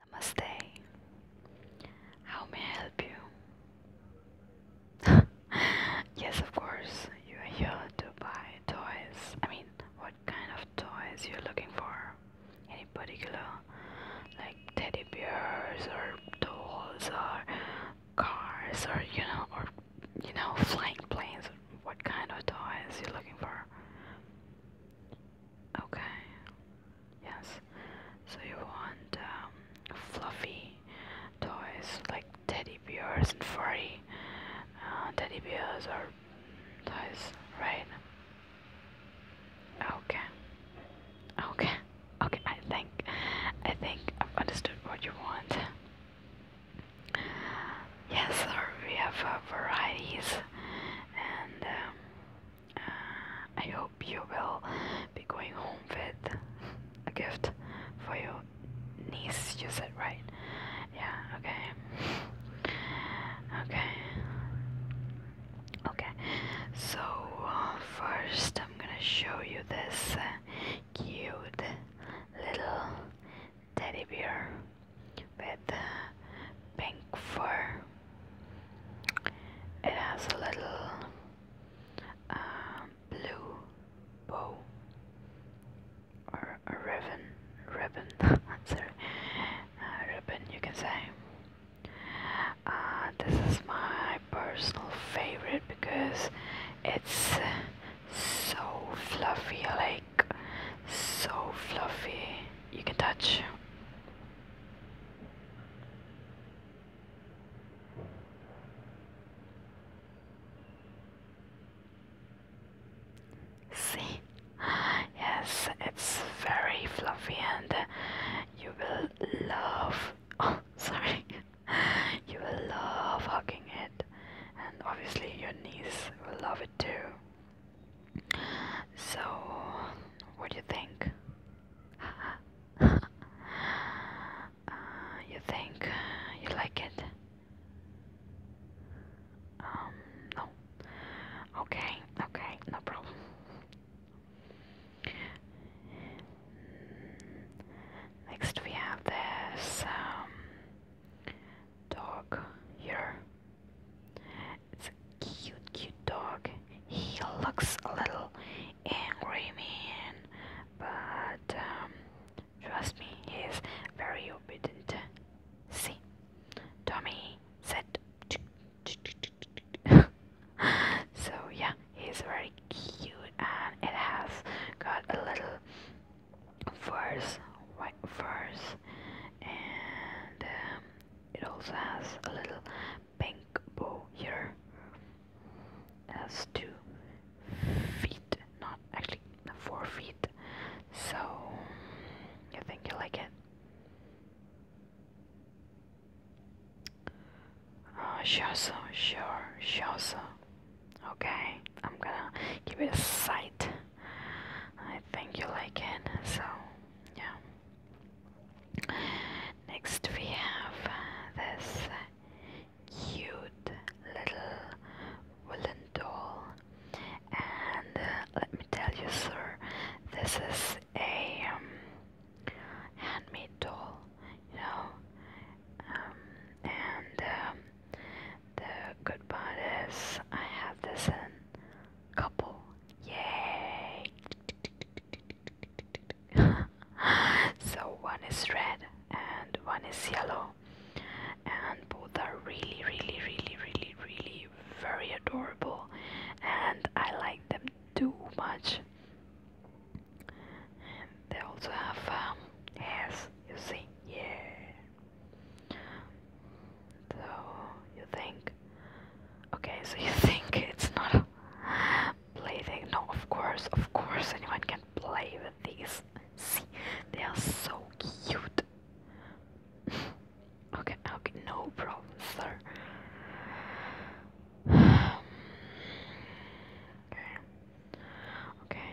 Namaste. How may I help you? yes, of course. You are here to buy toys. I mean, what kind of toys you're looking for? Any particular, like teddy bears or dolls or cars or you know or you know flying planes? What kind of toys you're looking for? Okay. Yes. So you want um, fluffy toys like teddy bears and furry uh, teddy bears are toys, right? Okay. Okay. Okay. I think I think I've understood what you want. Yes, We have uh, varieties, and um, I hope you will be going home with a gift for your niece, you said, right? Yeah, okay. Okay. Okay, so uh, first I'm gonna show you this uh, cute little teddy bear with pink fur. It has a little uh, blue bow or a ribbon, ribbon, sorry, ribbon you can say. Uh, this is my personal favorite because it's so fluffy, like so fluffy you can touch. See, yes, it's very fluffy, and you will love. Oh, sorry, you will love hugging it, and obviously your niece will love it too. So, what do you think? Uh, you think you like it? Um, no. Okay, okay, no problem. Next, we have this um, dog here. It's a cute, cute dog. He looks a little angry, man, but um, trust me, he's very obedient. See, Tommy said. so yeah, he's very cute, and it has got a little furs, white furs and um, it also has a little pink bow here it has two feet not actually four feet so I think you like it uh, sure so sure sure okay I'm gonna give it a sight I think you like it, so yeah. Next we have uh, this cute little wooden doll, and uh, let me tell you, sir, this is a um, handmade doll, you know. Um, and um, the good part is, I have this in couple. Yay! so one is red and one is yellow, and both are really, really, really, really, really very adorable, and I like them too much. And they also have um, hairs, you see, yeah. So you think okay, so you think it's not a plaything. No, of course, of course anyone can play with these. See, they are so cute. okay, okay, no problem, sir. okay. Okay.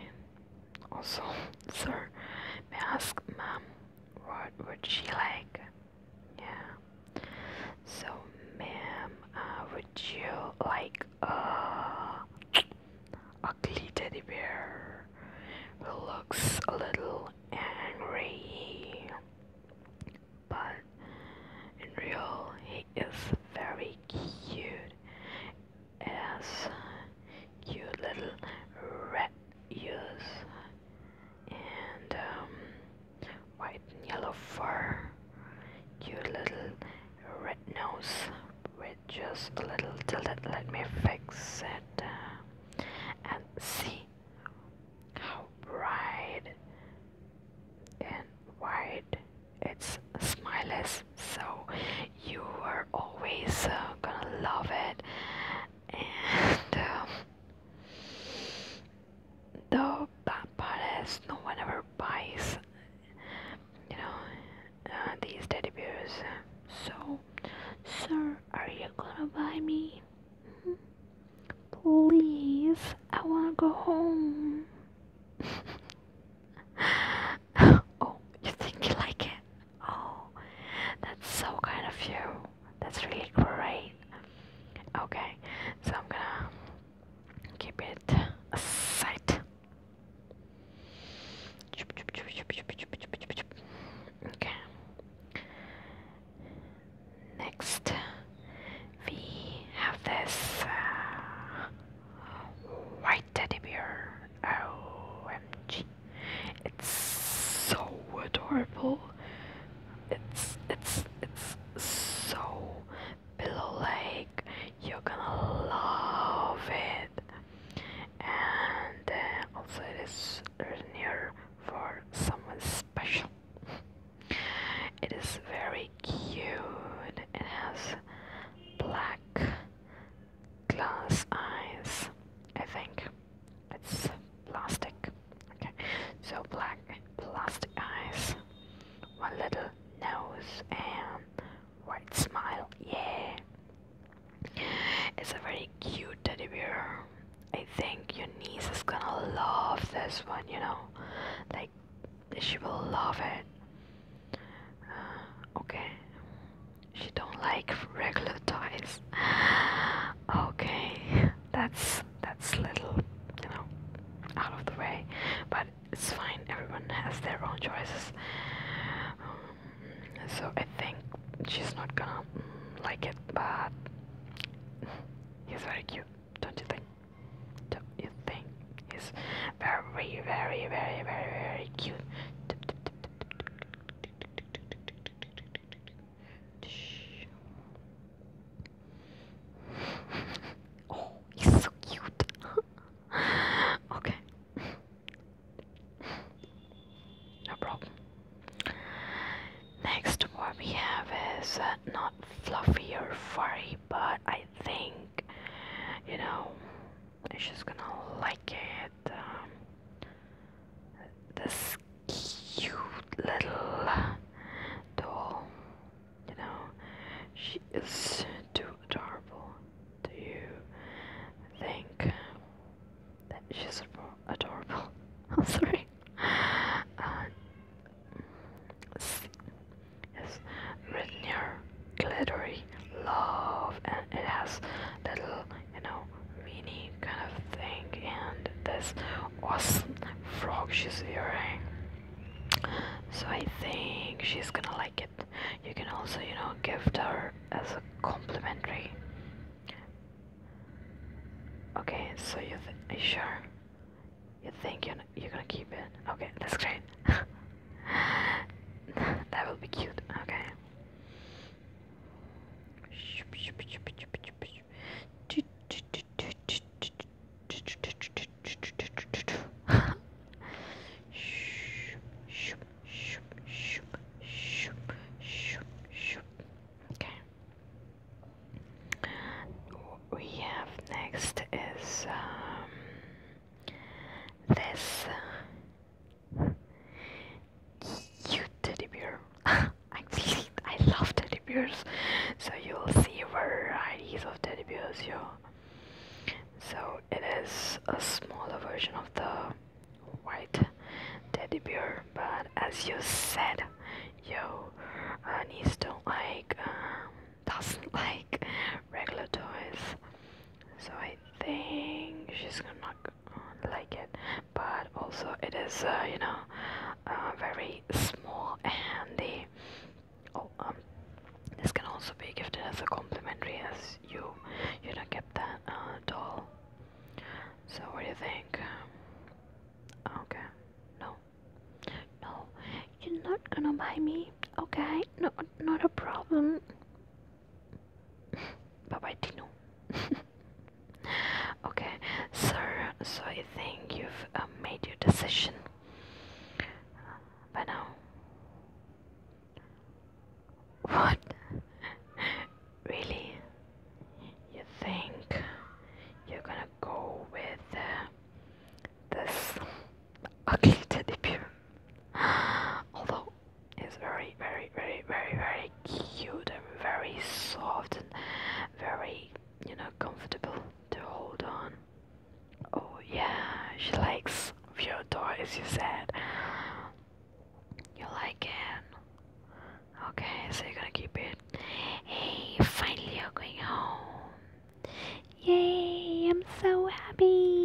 Also, sir, may I ask ma'am what would she like? Yeah. So, ma'am, uh, would you like a ugly teddy bear who looks a little angry, but in real he is very cute as Cute little red ears and um, white and yellow fur, you little red nose with just a little tilted. Let me fix it uh, and see how bright and wide its smile is. So you are always uh, gonna love it and the bad part is no one ever buys you know uh, these teddy bears so sir are you gonna buy me please i wanna go home oh you think you like it Oh, that's so kind of you. That's really great. Okay, so I'm gonna keep it aside. Okay. Next, we have this uh, white teddy bear. OMG. It's so adorable. It's it's it's so pillow like. You're gonna love it. And uh, also it is near for someone special. It is very cute. It has black glass eyes, I think. It's plastic. Okay, so black plastic eyes, one little nose, and white smile. Yeah, it's a very cute teddy bear. I think your niece is gonna love this one, you know, like she will love it. Uh, okay, she don't like regular toys. Okay, that's that's little, you know, out of the way, but it's fine. Everyone has their own choices. Um, so I think she's not gonna mm, like it, but he's very cute, don't you think? Don't you think he's very, very, very, very, very cute? Oh, he's so cute. okay. No problem. Next, what we have is uh, not fluffy or furry, but I think, you know, she's gonna like it. Um, this cute little doll, you know, she is too adorable. Do you think that she's adorable? I'm sorry. Uh, has glittery love and it has little you know mini kind of thing and this awesome frog she's wearing so I think she's gonna like it you can also you know gift her as a complimentary okay so you are you sure you think you're, you're gonna keep it okay that's great that will be cute okay we have next is um, this you teddy bear. Actually, I love teddy bears. So you'll see varieties of teddy bears here. So it is a smaller version of the white teddy bear, but as you said, your Anis don't like, um, doesn't like regular toys so I think she's gonna like it but also it is uh, you know uh, very small and handy oh um this can also be gifted as a complimentary as you you know get that uh, doll so what do you think okay no no you're not gonna buy me okay no not a problem Bye-bye, Tino. okay, sir, so I think you've um, made your decision by now. What? really? You think you're gonna go with uh, this ugly teddy bear? Although it's very, very, very, very, very cute and very soft and very, you know, comfortable to hold on. Oh yeah, she likes Fyodor toys. you said. You like it? Okay, so you're gonna keep it. Hey, finally you're going home. Yay, I'm so happy.